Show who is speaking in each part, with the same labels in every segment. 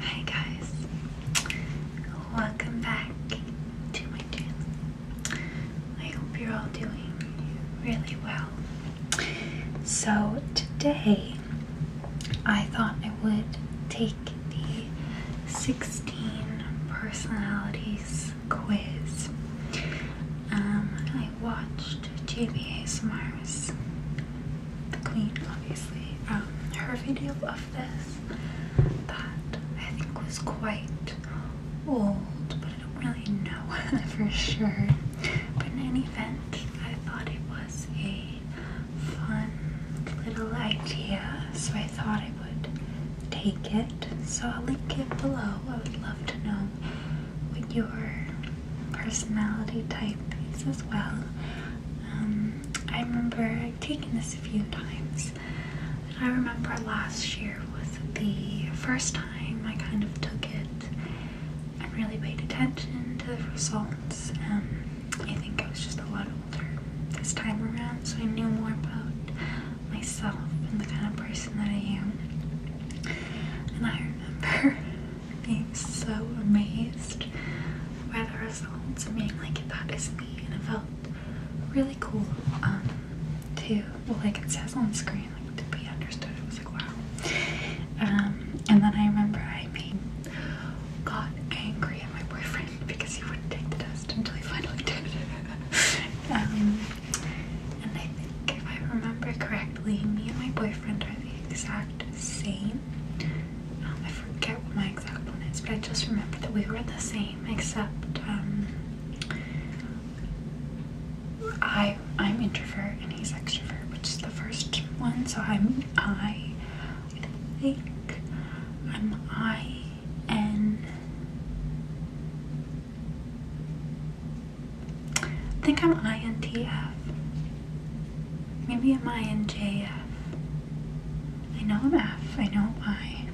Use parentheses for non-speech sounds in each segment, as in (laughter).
Speaker 1: Hi guys, welcome back to my channel. I hope you're all doing really well. So today I thought I would take the 16 personalities quiz. Um, I watched JBA Smars the queen, obviously, um, her video of this that I think was quite old, but I don't really know (laughs) for sure. But in any event, I thought it was a fun little idea, so I thought I would take it. So I'll link it below. I would love to know what your personality type is as well. Um, I remember taking this a few times. I remember last year was the first time I kind of took it I really paid attention to the results. I think I was just a lot older this time around, so I knew more about myself and the kind of person that I am. And I remember (laughs) being so amazed by the results and being like, that is me. And it felt really cool um, to, well, like it says on screen, like to be understood. It was like, wow. Um, and then I remember I made, got angry at my boyfriend because he wouldn't take the test until he finally did. (laughs) um, and I think if I remember correctly, me and my boyfriend are the exact same um, I forget what my exact one is, but I just remember that we were the same, except um, I I'm introvert and he's extrovert, which is the first one. So I'm I, I think I'm I N. I think I'm INTF. Maybe I'm INJF. I know I'm F. I know I'm F. I know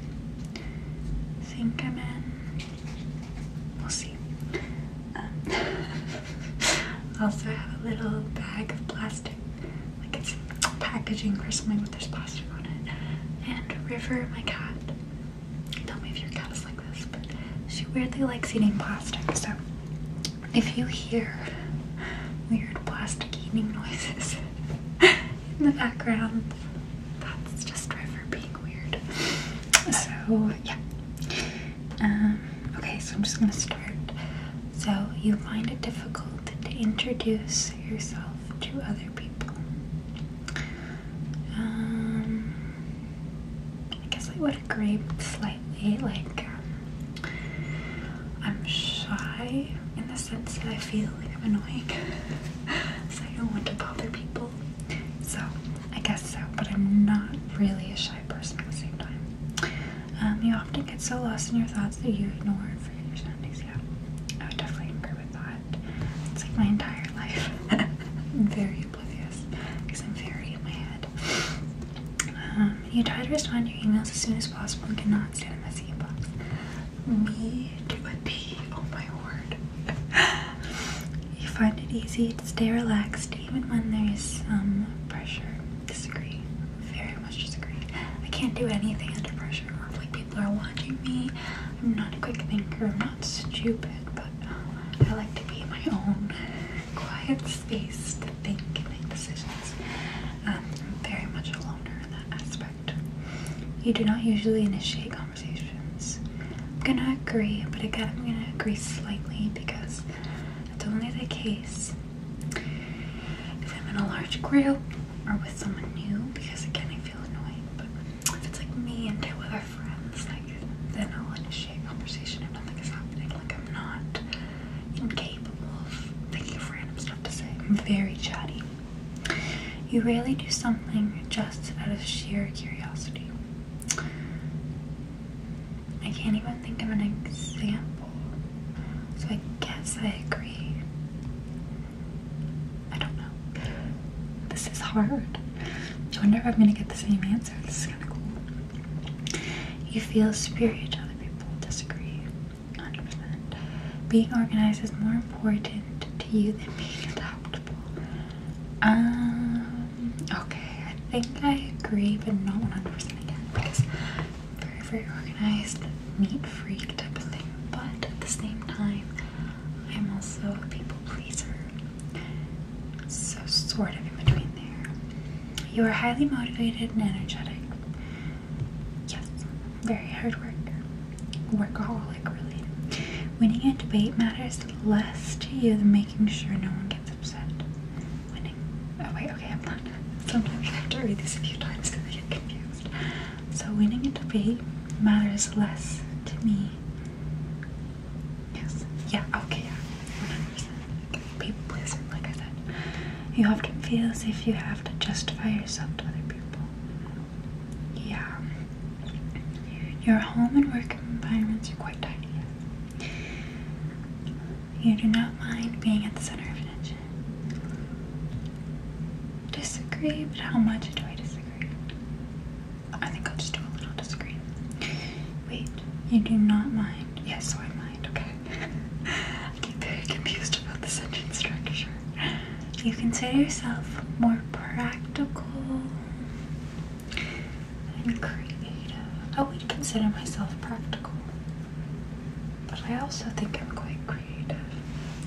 Speaker 1: I think I'm in. We'll see. Um, (laughs) also, I have a little bag of plastic, like it's packaging for something, but there's plastic on it. And River, my cat. Tell me if your cat is like this, but she weirdly likes eating plastic, so if you hear weird plastic eating noises (laughs) in the background, that's just River being weird. So, yeah. Um, okay, so I'm just gonna start. So, you find it difficult to introduce yourself to other people. Um, I guess I would agree slightly, like, um, I'm shy in the sense that I feel like I'm annoying. (laughs) so I don't want to bother people. So I guess so, but I'm not really a shy person at the same time. Um, you often get so lost in your thoughts that you ignore and forget your surroundings. Yeah, I would definitely agree with that. It's like my entire life. (laughs) I'm very oblivious because I'm very in my head. Um, you try to respond to your emails as soon as possible and cannot stand a messy inbox. Me to a T, oh my word. you find it easy to stay relaxed even when there is some pressure. Disagree. Very much disagree. I can't do anything under pressure or like people are watching me. I'm not a quick thinker, I'm not stupid, but I like to be my own quiet space to think and make decisions. I'm um, very much a loner in that aspect. You do not usually initiate conversations. I'm gonna agree, but again, I'm gonna agree slightly because it's only the case if I'm in a large group or with someone new because again, I feel annoying. But if it's like me and two other friends, like then I'll initiate conversation if nothing is happening. Like I'm not incapable of thinking of random stuff to say. I'm very chatty. You rarely do something just out of sheer curiosity. I can't even think of an example, so I guess I agree. I don't know. This is hard. I wonder if I'm gonna get the same answer. This is kind of cool. You feel spirit, other people disagree. 100%. Being organized is more important to you than being adaptable. Um, okay, I think I agree, but not 100% again because I'm very, very organized, neat freak type of thing. But at the same time, I'm also a people pleaser. So, sort of in between there. You are highly motivated and energetic. Yes, very hard worker. Workaholic, really. Winning a debate matters less to you than making sure no one gets upset. Winning. Oh, wait, okay, I'm not. Sometimes I have to read this a few times because I get confused. So, winning a debate matters less to me. Yes. Yeah, okay, yeah. 100% people pleaser, like I said. You often feel as if you have to justify yourself to other people. Yeah. Your home and work environments are quite tidy. You do not mind being at the center of attention. Disagree, but how much do I disagree? I think I'll just do a little disagree. Wait, you do not mind. Yes, so I mind, okay. (laughs) very confused about the sentence structure. You consider yourself more practical and creative. I would consider myself practical, but I also think I'm quite creative.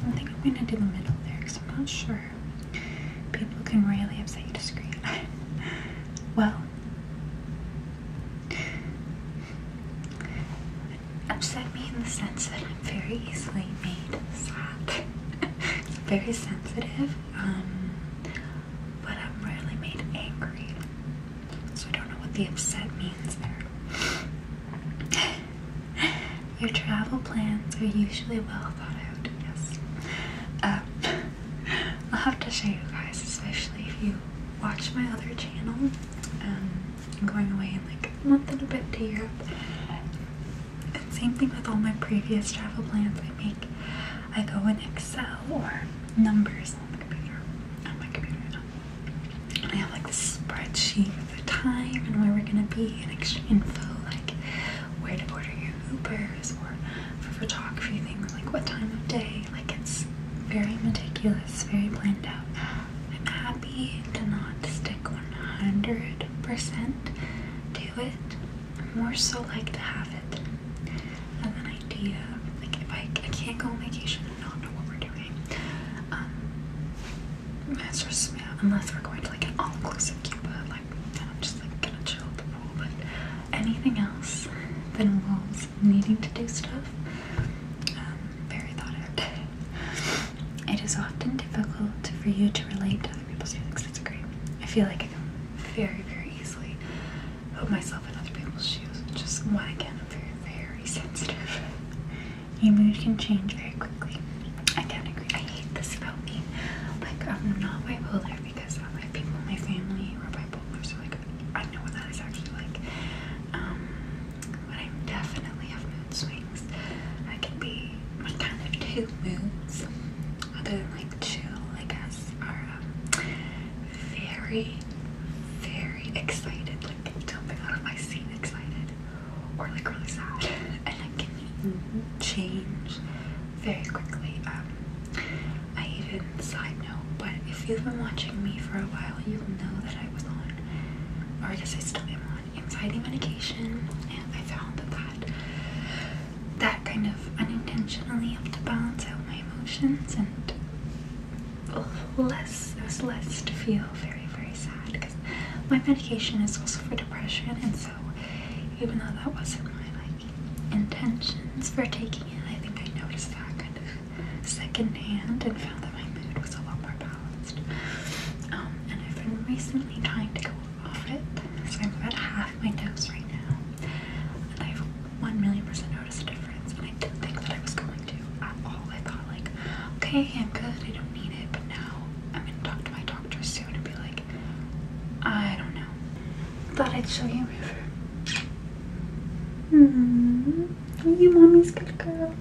Speaker 1: I think I'm gonna do the middle there because I'm not sure. People can really upset you to screen. (laughs) well, (sighs) Upset me in the sense that I'm very easily made sad. (laughs) very sensitive, um, but I'm rarely made angry. So I don't know what the upset means there. (sighs) Your travel plans are usually well thought out, yes. Um, (laughs) I'll have to show you guys, especially if you watch my other channel. Um, I'm going away in like a month and a bit to Europe. And same thing with all my previous travel plans I make. I go in Excel or numbers on the computer. On my computer, no. I have like this spreadsheet of the time and where we're gonna be and extra info like where to order your Ubers or for photography things like what time of day like it's very meticulous, very planned out. I'm happy to not stick 100% to it. more so like to have it as an idea. Like if I, I can't go on vacation and not know what we're doing. Um, just, yeah, unless we're going to like an all-inclusive Cuba, like then I'm just like gonna chill at the pool. But anything else that involves needing to do stuff, um, very thought out. (laughs) it is often difficult for you to relate to other people's feelings. That's great. I feel like I can very, very easily put myself in other people's shoes, which is why again I'm very, very sensitive. (laughs) Your mood can change very quickly. I can't agree. I hate this about me. Like I'm not bipolar because I like people my family who are bipolar, like I know what that is actually like. Um, but I definitely have mood swings. I can be my kind of two moods, other than like chill, I guess, are um, very, very excited, like jumping out of my seat excited, or like really sad, (laughs) and I can change very quickly. Um, I even, side note, but if you've been watching me for a while, you'll know that I was on, or I guess I still am on, anxiety medication, and I found that that, kind of unintentionally helped to balance out my emotions and less, less to feel very, very sad, because my medication is also for depression, and so even though that wasn't my, like, intentions for taking it, I think I noticed that kind of Second hand, and found that my mood was a lot more balanced. Um, and I've been recently trying to go off it, so I'm about half my dose right now. And I've 1 million percent noticed a difference, and I didn't think that I was going to at all. I thought, like, okay, I'm good, I don't need it, but now I'm gonna talk to my doctor soon and be like, I don't know. Thought I'd show you River. Mm -hmm you mommy's good girl.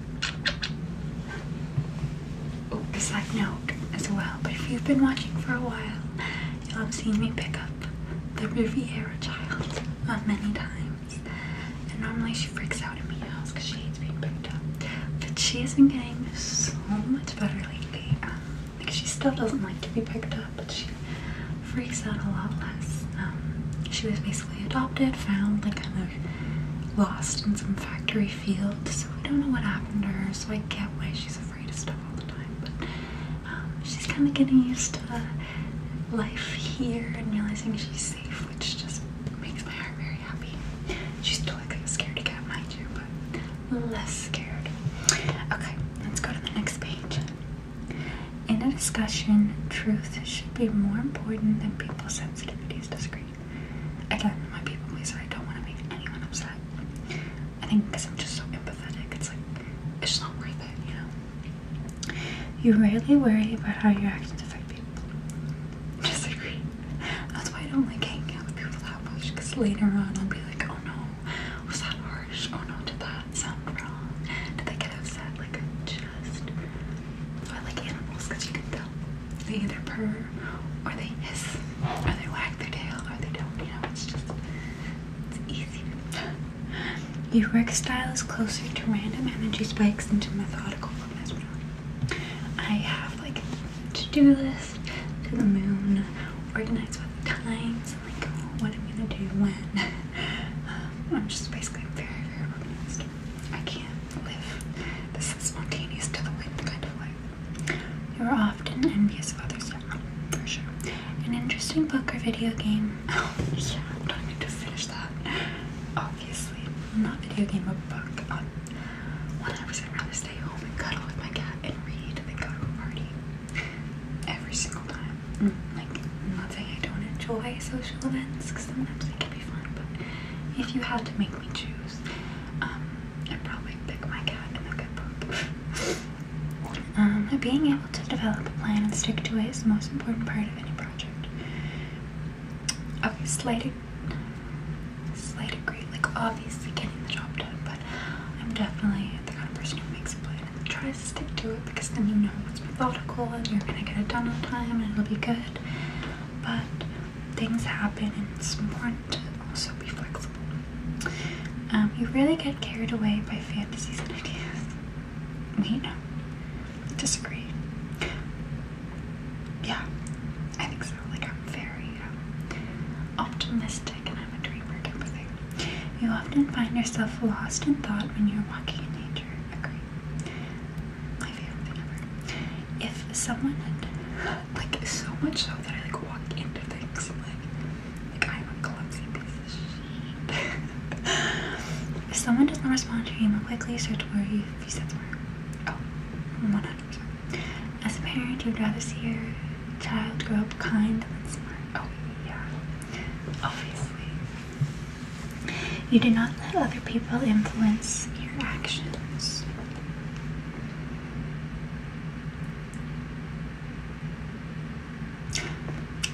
Speaker 1: Oh, it's like milk as well. But if you've been watching for a while, you'll have seen me pick up the Riviera child many times. And normally she freaks out at me house because she hates being picked up. But she has been getting so much better lately. like um, she still doesn't like to be picked up, but she freaks out a lot less. Um, she was basically adopted, found, like kind of lost in some factory field, so we don't know what happened to her, so I get why she's afraid of stuff all the time, but um, she's kind of getting used to life here and realizing she's safe, which just makes my heart very happy. She's still like a scaredy cat, mind you, but less scared. Okay, let's go to the next page. In a discussion, truth should be more important than people's sensitivities. Disagree. Again, my people pleaser. I don't want to make anyone upset. I think because I'm just so empathetic, it's like it's not worth it, you know. You rarely worry about how your actions affect people. Disagree. That's why I don't like hanging out with people that much. Because later on, I'll be like, oh no, was that harsh? Oh no, did that got some from. they get upset like just or like animals? you can tell they either purr or they hiss or they wag their tail or they don't. You know, it's just it's easier. Your work style is closer to random energy spikes into methodical focus. I have like to do list to the moon, organized with times, is what I'm gonna do when. (laughs) Um, I'm just basically very, very organized. I can't live this spontaneous to the wind kind of life. You're often envious of others, yeah, for sure. An interesting book or video game. (laughs) Oh, yeah, I don't to finish that. Obviously, not video game, but book. Um, one I would rather stay home and cuddle with my cat and read than go to a party every single time. Mm, like I'm not saying I don't enjoy social events because sometimes they can be fun, but if you had to make me choose, um, I'd probably pick my cat and the good poop. (laughs) um, being able to develop a plan and stick to it is the most important part of any project. Okay, slight, slight agree. Like obviously getting the job done, but I'm definitely the kind of person who makes a plan Try to stick to it because then you know it's methodical and you're gonna get it done on time and it'll be good. But things happen and it's important to also be flexible. Um, you really get carried away by fantasies and ideas. We know. Disagree. Yeah, I think so. Like I'm very um, optimistic and I'm a dreamer you often find yourself lost in thought when you're walking in nature. Agree. My favorite thing ever. If someone like, so much so that I, like, walk into things, like, like I'm a clumsy piece of shit. (laughs) if someone doesn't respond to your email quickly, search where you, if you said the word. Oh, 100%. As a parent, you'd rather see your child grow up kind than smart. Oh, yeah. Obviously. You do not let other people influence your actions.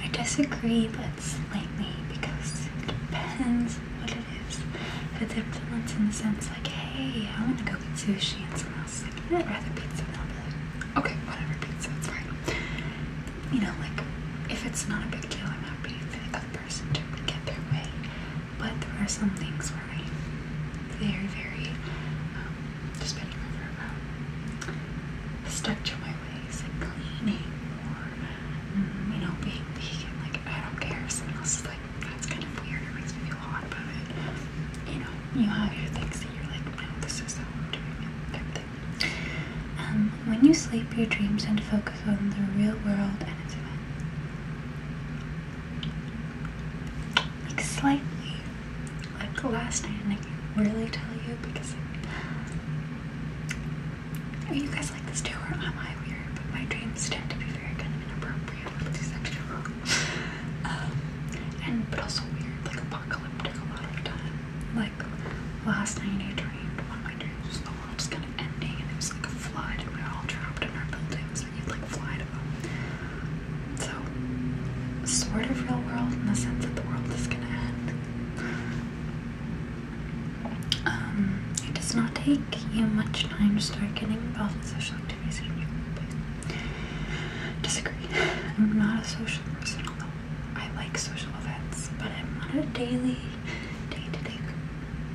Speaker 1: I disagree, but slightly, because it depends what it is. If it's influence in the sense like, hey, I want to go get sushi, and someone else is like, I'd rather pizza. And I'll okay, whatever, pizza, it's fine you know, like if it's not a big deal, I'm happy for the other person to get their way. But there are some things where I'm very, very um, just bending over about stuck to my ways, like cleaning or mm, you know, being vegan. Like I don't care if someone else is like, that's kind of weird. It makes me feel hot about it. You know, you have your things that you're like, no, this is how I'm doing it. Um, when you sleep, your dreams tend to focus on the real world and its events. Like slightly, like the last night, and I can't really tell you because like, you guys like this too, or am I weird? But my dreams tend to be very kind of inappropriate, but sexual, (laughs) um, and but also weird, like apocalyptic a lot of times like last night I dreamed one of my dreams was the world's kind of ending and it was like a flood and we are all trapped in our buildings and you'd like fly to them. So sort of real world in the sense that the world is gonna end. Um, it does not take you much time to start getting involved in social activities in your Disagree. I'm not a social person, I like social events, but I'm on a daily, day-to-day.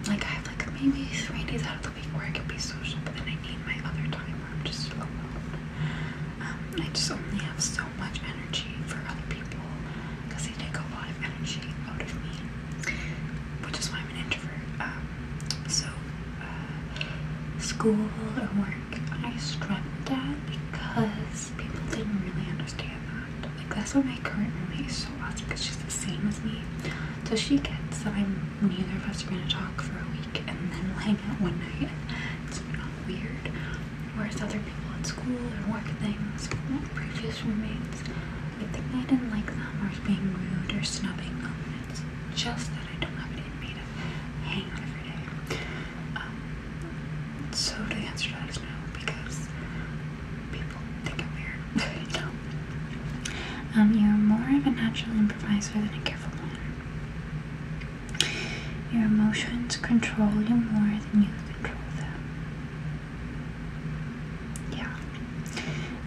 Speaker 1: Like I have like maybe three days out of the week where I can be social, but then I need my other time where I'm just alone. Um, I just only have so much energy for other people because they take a lot of energy out of me, which is why I'm an introvert. Um, so uh, school or work, I stress with that because people didn't really understand that. Like that's why my current roommate is so awesome because she's the same as me. So she gets that I'm neither of us are gonna talk for a week and then we'll hang out one night. It's not weird. Whereas other people at school and work and things, previous roommates, I think I didn't like them or being rude or snubbing them. It's just that I don't have it in me to hang out every day. Um, so the answer to that is no, because people think I'm weird. (laughs) no. Um, you're more of a natural improviser than a careful one. Your emotions control you more than you control them. Yeah.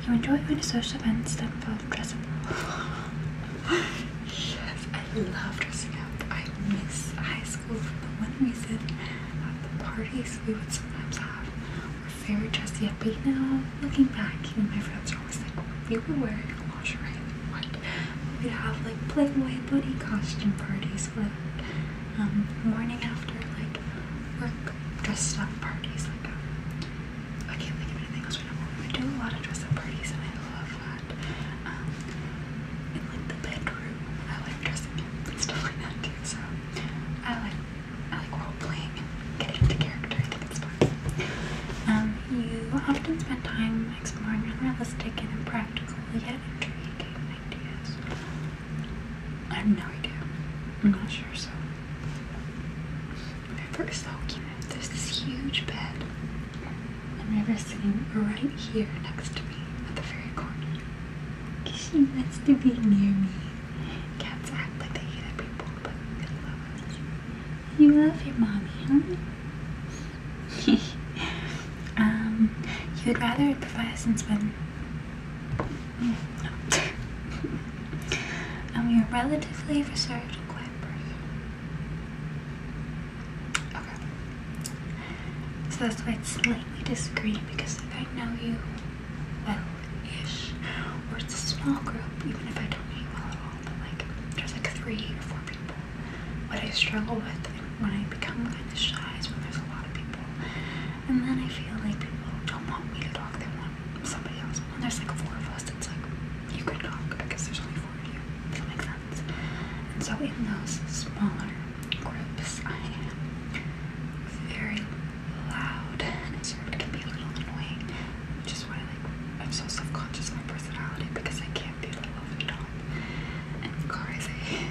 Speaker 1: You enjoy going to social events that involve dressing up. yes, I love dressing up. I miss high school for the one reason at the parties we would sometimes have were very dressy up. But you know, looking back, you know, my friends are always like, you were wearing a lingerie what? We'd have like Playboy bunny costume parties with um, morning after like work dressed up parties like um, I can't think of anything else right We do a lot of dress up parties and I love um, in like the bedroom, I like dressing up and stuff like that too. So I like I like role playing getting into character. I think it's fun. you often spend time exploring unrealistic and impractical yet intriguing ideas. I have no idea. I'm not sure. So, my first so cute. There's this huge bed and River sitting right here next to me at the very corner. She wants to be near me. Cats act like they hate people, but You love your mommy, huh? (laughs) um, you'd rather the Leviathans win. Mm, (laughs) no. um, you're relatively reserved and quiet Okay. So that's why it's slightly discreet because if I know you well-ish, or it's a small group, even if I don't know you well at all, but like there's like three or four people. What I struggle with when I become kind of shy is when there's a lot of people. And then I feel like people don't want me to talk, they want somebody else. When there's like four of us, it's like you could talk because there's only four of you. And so in those smaller groups, I am very loud and it sort of can be a little annoying, which is why I'm so self-conscious of my personality because I can't be a little um, over the top and crazy.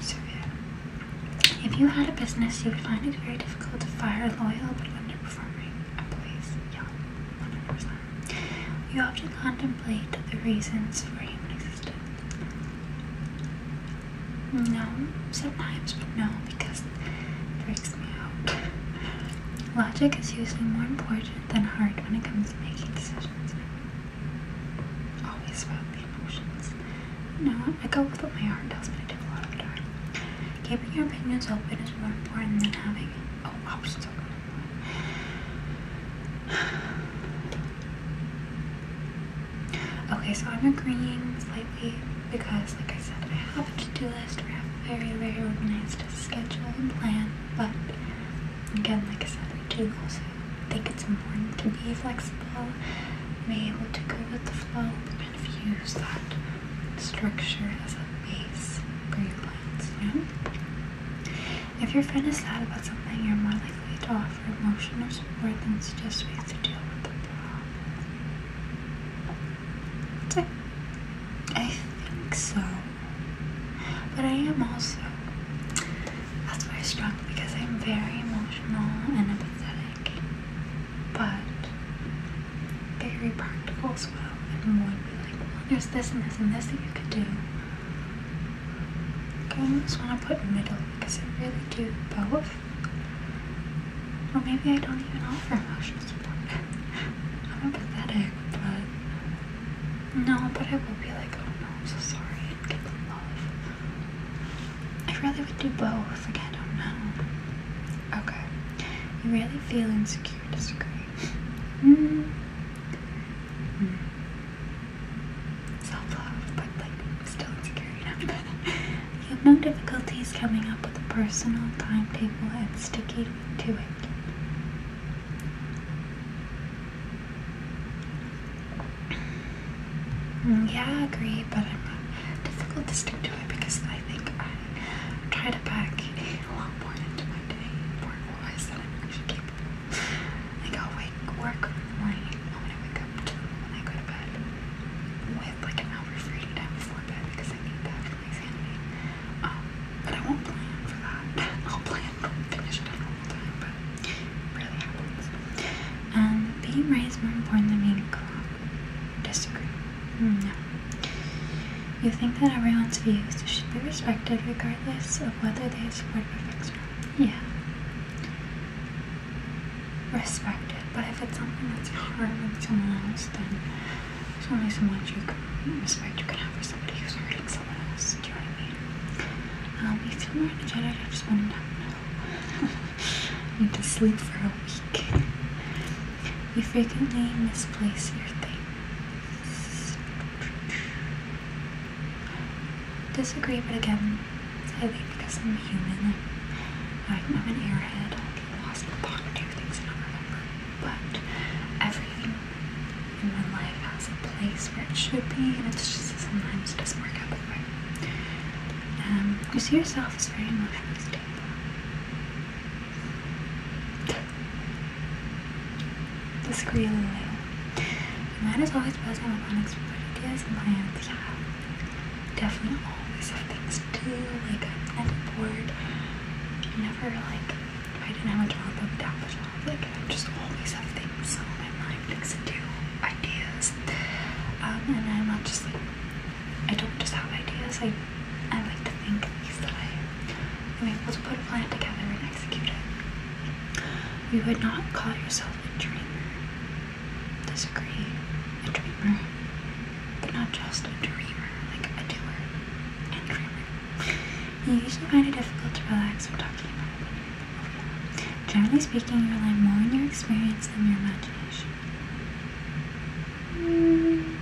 Speaker 1: so yeah. If you had a business, you would find it very difficult to fire loyal but underperforming employees. Yeah, 100%. You often contemplate the reasons for human existence. No, sometimes, but no, because it freaks me out. Logic is usually more important than heart when it comes to making decisions. Always about the emotions. No, I go with what my heart tells me to do a lot of the time. Keeping your opinions open is more important than having, oh, options. (sighs) Okay, so I'm agreeing slightly because, like I said, I have a to-do list or I have a very, very organized schedule and plan, but again, like I said, I do also think it's important to be flexible, be able to go with the flow, and use that structure as a base for your plans, you if your friend is sad about something, you're more likely to offer emotional support than suggest ways to deal with the problem. I think so. But I am also. That's why I struggle because I'm very emotional and empathetic, but very practical as well. And would be like, well, there's this and this and this that you could do. I almost want to put middle because I really do both. Or maybe I don't even offer emotional support. (laughs) I'm pathetic, but no, but I will be like, oh no, I'm so sorry, give them love. I really would do both, like I don't know. Okay. You really feel insecure, disagree. (laughs) Mm self-love, but like still insecure, (laughs) you have no difficulties coming up with a personal timetable and sticking to it. Mm, yeah, I agree, but I'm difficult to stick to it because I think I try to pack a lot more into my day, I said I'm actually I'll wake work in the i wake up too when I go to bed with like an hour free before bed because I need that for my sanity. Um, but I won't plan for that. (laughs) I'll plan to finish it at normal time, but it rarely happens. Um, being right is more important than being corrupt. Disagree. Hmm, no. You think that everyone's views should be respected regardless of whether they support perfection. Yeah. Respect it, but if it's something that's harming someone else, then there's only so much you can respect you can have for somebody who's hurting someone else. Do you know what I mean? Um, you feel more energetic. I just want to know. (laughs) I need to sleep for a week. You frequently misplace your things disagree, but again, sadly, because I'm human, I'm, I'm an airhead. I get lost in the pond, do not remember. But everything in my life has a place where it should be, and it's just sometimes it doesn't work out that way. you um, see yourself as very emotionally stable. This a little bit. The man is always present with unexpected ideas and plans. Yeah, definitely always have things to Like, I'm never bored. i never like, I didn't have a job, I would have a job. Like, I just always have things on my mind, things to do, ideas. Um, and I'm not just like, I don't just have ideas. I, I like to think things that I'm able to put a plan together and execute it. You would not call yourself a dreamer. Disagree. A dreamer. But not just a dreamer, like a doer and dreamer. You usually find it difficult to relax when talking about it. Okay. Generally speaking, you rely more on your experience than your imagination. Mm.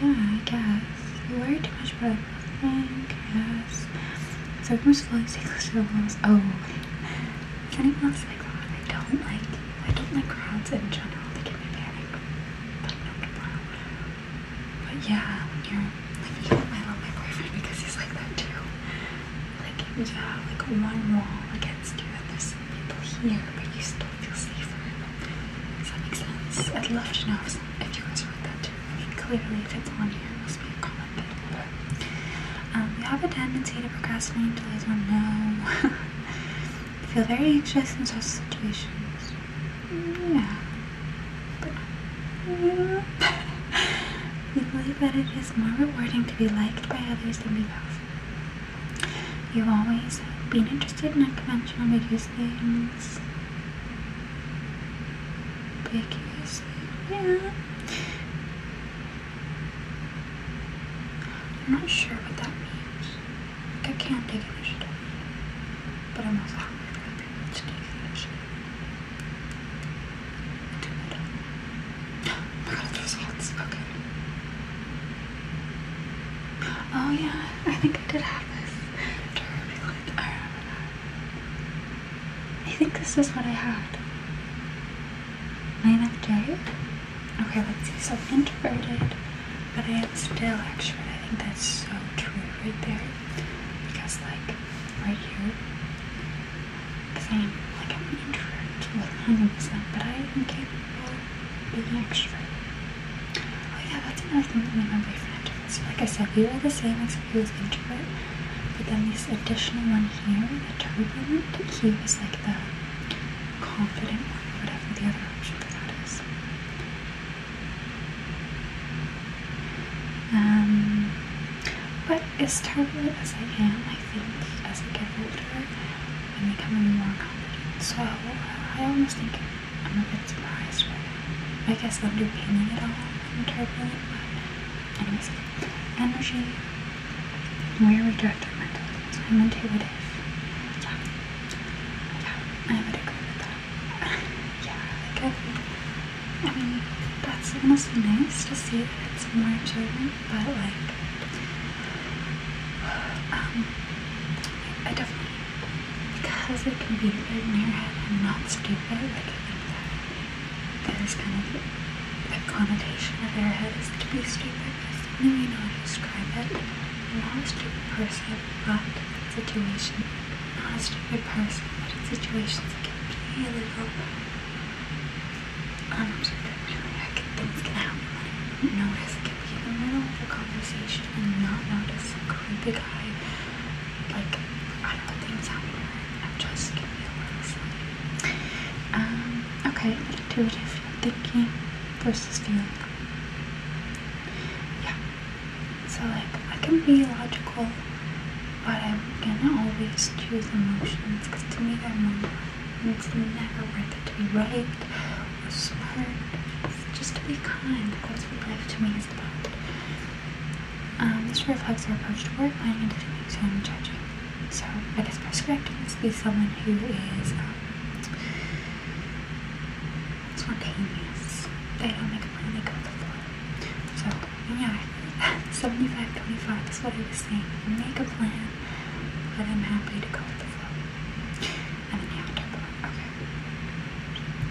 Speaker 1: Yeah, I guess. You worry too much about everything, yes. So much falling close to the walls. Oh, is anyone else like that? I don't like, I don't like crowds in general. They give me panic. But yeah, when you're, like, even I my boyfriend because he's like that too. Like, you have like one wall against you and there's some people here, but you still feel safer. Does that make sense? I'd love to know if, you guys read that too. I mean, clearly, if it's on here, it must be a common thing. Um, we have a tendency to procrastinate, delay, or no. feel very anxious in stressful situations. Yeah. But, yeah. (laughs) we believe that it is more rewarding to be liked by others than be powerful. You've always been interested in unconventional videos, is yeah I'm not sure what that means like I can't take initiative but I'm also hungry for other people to take it. (gasps) oh my god those hats okay Oh yeah, I think I did have this. I think this is what I had. My of day? Okay, let's see. So i introverted, but I am still extrovert. I think that's so true right there. Because like, right here, because I am like I'm an introvert, well, 100%, but I am capable of being extrovert. Oh yeah, that's another thing my boyfriend are So like I said, we are the same except he was introvert. But then this additional one here, the turbulent, he was like the confident one, whatever the other option for that is. Um, but as turbulent as I am, I think as I get older, I become more confident. So I almost think I'm a bit surprised right now. I guess underpinning it all in a turbulent mind. Anyways, energy, we're redirected mentally. I'm intuitive. So, yeah, I would agree with that. (sighs) yeah, like I, I mean, that's almost nice to see that it's more children, but like, (sighs) um, I definitely because it can be right in your head and not stupid, like I think that that is kind of the, connotation of their head is to be stupid. That's the only way describe it. you am not a stupid person, but situation. I'm be a stupid person, but in situations it can be a little I can, things can happen. Notice it can be in the middle of the conversation and not notice kind of guy, like, I don't know things happen I'm just giving you a little sleep. Um, okay, intuitive thinking versus feeling. Yeah, so like, I can be logical, but I'm gonna always choose emotions, because to me they're more it's never worth it to be right so just to be kind, because what life to me is about. Um, this reflects our approach to work, planning, and doing and judging. So, I guess perspective is to be someone who is um, spontaneous. They don't make a plan, they go with the flow. So, yeah, (laughs) 75 25 is what I was saying. Make a plan, but I'm happy to go with the flow. Okay.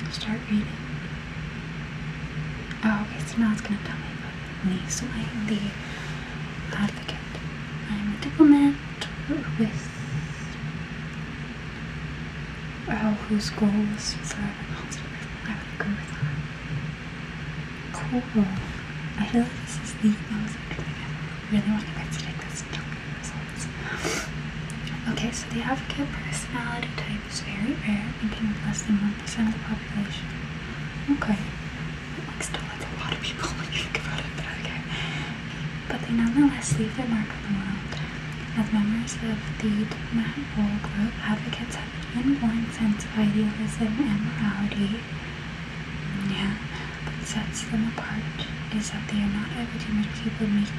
Speaker 1: I'll start reading. Oh, okay, so now it's gonna tell me about me. So I am the advocate. I am a diplomat with oh, whose goal is forever I would agree with that. Cool. I feel like this is the most interesting ever. really want you guys to take this Okay, so the advocate personality type is very rare, making less than 1% of the population. Okay. Like still that's a lot of people when you think about it, but okay. But they nonetheless leave their mark on the world. As members of the Mahal group, advocates have an inborn sense of idealism and morality. Yeah, what sets them apart is that they are not everything that people make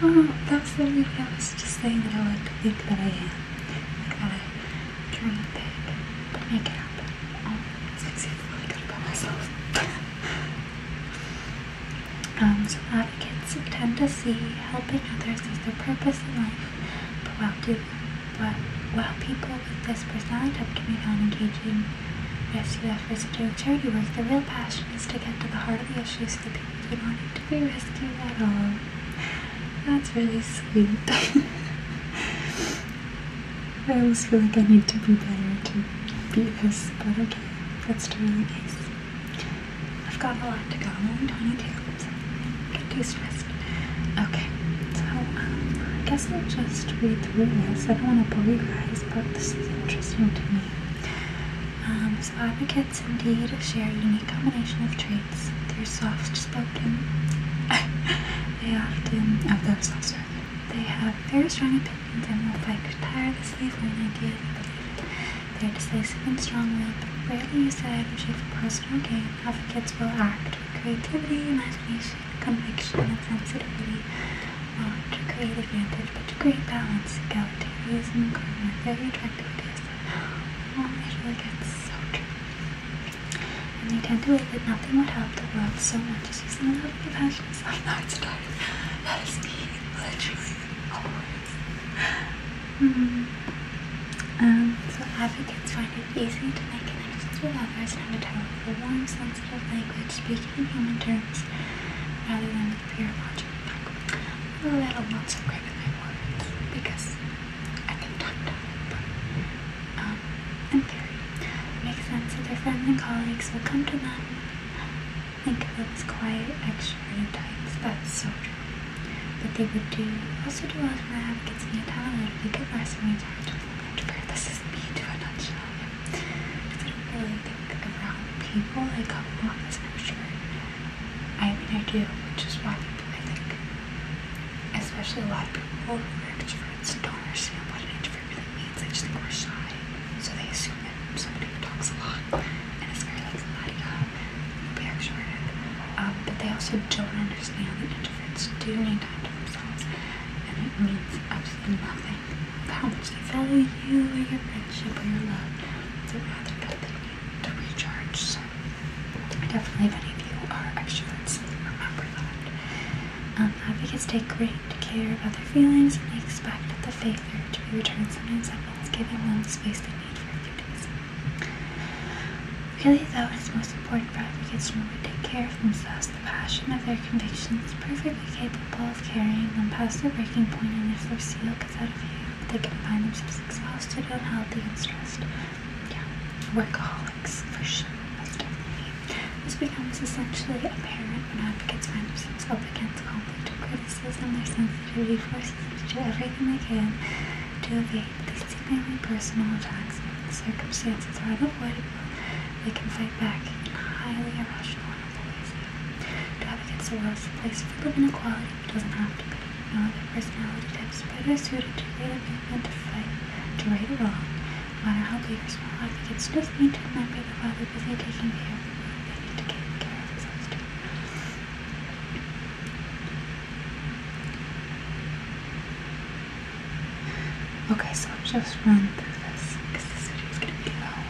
Speaker 1: oh that's the movie I was just saying that I like to think that I am like that I dream big make it happen um, so I can feel really to about myself um, so advocates tend to um, see helping others as their purpose in life but while, do, but while people with this personality type can be found engaging yes you efforts of doing charity work, the real passion is to get to the heart of the issue so that people do not need to be rescued at all. That's really sweet. (laughs) I almost feel like I need to be better to be this, but okay, that's totally nice. I've got a lot to go. I'm only 22, so get too stressed. Okay, so um, I guess I'll just read through this. I don't want to bore you guys, but this is interesting to me. Um, so advocates indeed share a unique combination of traits. They're soft-spoken. (laughs) they often, of themselves, sorry. They have very strong opinions and will fight tirelessly for an idea they believe in. They're decisive and strong-willed, but rarely use that energy for personal gain. Advocates will act with creativity, imagination, conviction, and sensitivity not to great advantage, but to great balance. Egalitarianism is an incredible, very attractive ideas. Oh, I feel like it's so true. And they tend to believe that nothing would help the world so much as using love little compassion I know it's a die. That is me, literally, always. Mm. Um, so advocates find it easy to make connections with others and to develop a warm, sensitive language speaking in human terms rather than you're watching back. I'm a little not so great with my because I've been talked on it, but um, in theory, it makes sense that their friends and colleagues would come to them. Think of them as quiet, extroverted types. That's so true. But they would do also do well as an advocates in the town and get them and we talked to them. This is me to a nutshell. I do really think around people I come off as an extrovert. I mean, I do, which is why people, I think, especially a lot of people who are introverts don't understand what an introvert really means. They just think we're shy, so they assume that somebody who talks a lot and is very like la di um, but they also don't understand that introverts do need time to themselves, and it means absolutely nothing bounce to value or your friendship or your love. It's a rather good thing to recharge. So definitely if any of you are extroverts, remember that. Um, advocates take great care of other feelings and they expect the favor to be returned. Sometimes that means giving them the space they need for a few days. Really though, it's most important for advocates to remember to take care of themselves. The passion of their convictions is perfectly capable both carrying them past their breaking point, and if their seal gets out of hand, they can find themselves exhausted, unhealthy, and stressed. Yeah, workaholics for sure. definitely this becomes essentially apparent when advocates find themselves up against conflict or criticism. Their sensitivity forces them to do everything they can to evade these seemingly personal attacks. Circumstances are unavoidable. They can fight back in highly irrational to have a so well is a place for living equality, it doesn't have to be. No other personality types better suited to lead a to fight, to right or wrong. No matter how big or small advocates just need to remember that while they're busy taking care of they need to care of themselves Okay, so just run through this because this video is going to be long.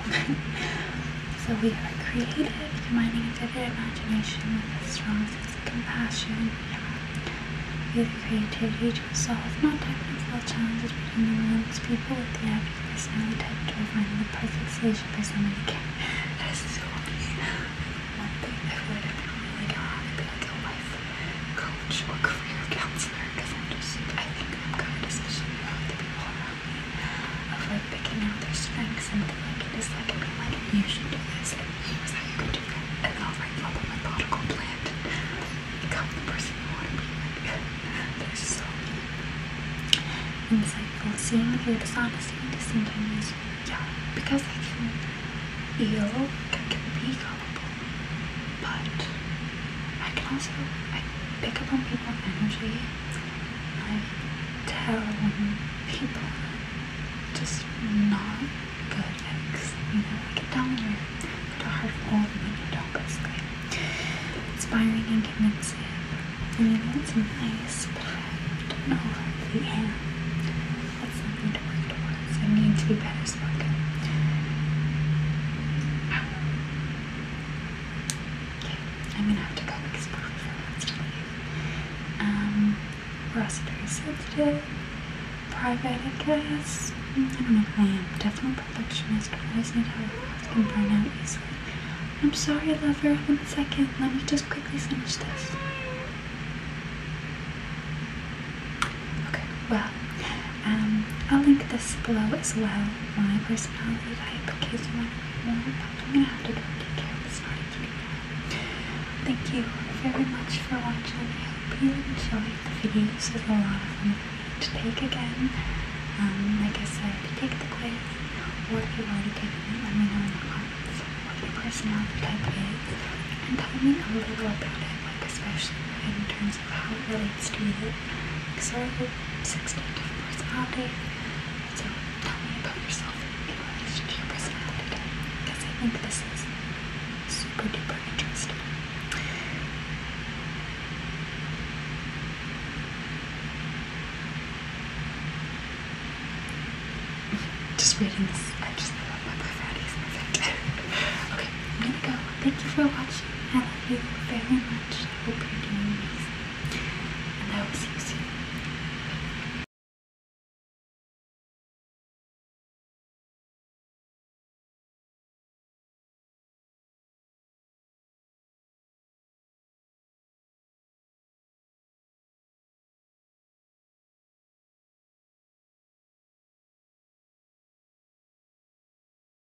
Speaker 1: (laughs) so we are creative, combining a vivid imagination with a strong sense of compassion. the creativity to solve non-technical challenges between the world's people with the average personality type to find the perfect solution for someone who can. (laughs) That is so funny. One thing I would have been really good at be like a oh, life coach or career counselor because I'm just, I think I'm good, especially with the people around of like picking out their strengths and things like it is like being like you should do this and here's how you can do that and I'll write up a methodical plan to become the person you want to be like. (laughs) There's so And like, insightful seeing through dishonesty sometimes yeah, because I can feel I can be gullible. But I can also I pick up on people evil energy. I tell when people are just not good eggs. You know, I can tell put a heart full and when you don't, basically. Inspiring and convincing. I mean, it's nice, but I don't know if I am. That's something to work towards. I need to be better spoken. Okay, I'm gonna have to go because Buffy wants to leave. Um, we're also very sensitive, private, I guess. I don't know who I am. Definitely perfectionist. I always need help. I to burn out easily. I'm sorry, lover. One second. Let me just quickly finish this. Okay, well, um, I'll link this below as well, my personality type, in case you want to know more, but I'm going to have to go take care of this party Thank you very much for watching. I hope you enjoyed the videos. It was a lot of fun to take again. Um, like I said, take the quiz, or if you've already taken it, let me know in the comments what your personality type is, and tell me a little about it, like especially in terms terms how it relates to the external 60 different personalities. So tell me about yourself in relation to your personality today, because I think this is super duper interesting. Just reading this, I just love my my Friday's perfect. (laughs) okay, I'm gonna go. Thank you for watching you very much. I hope you're doing well. And I will see you soon.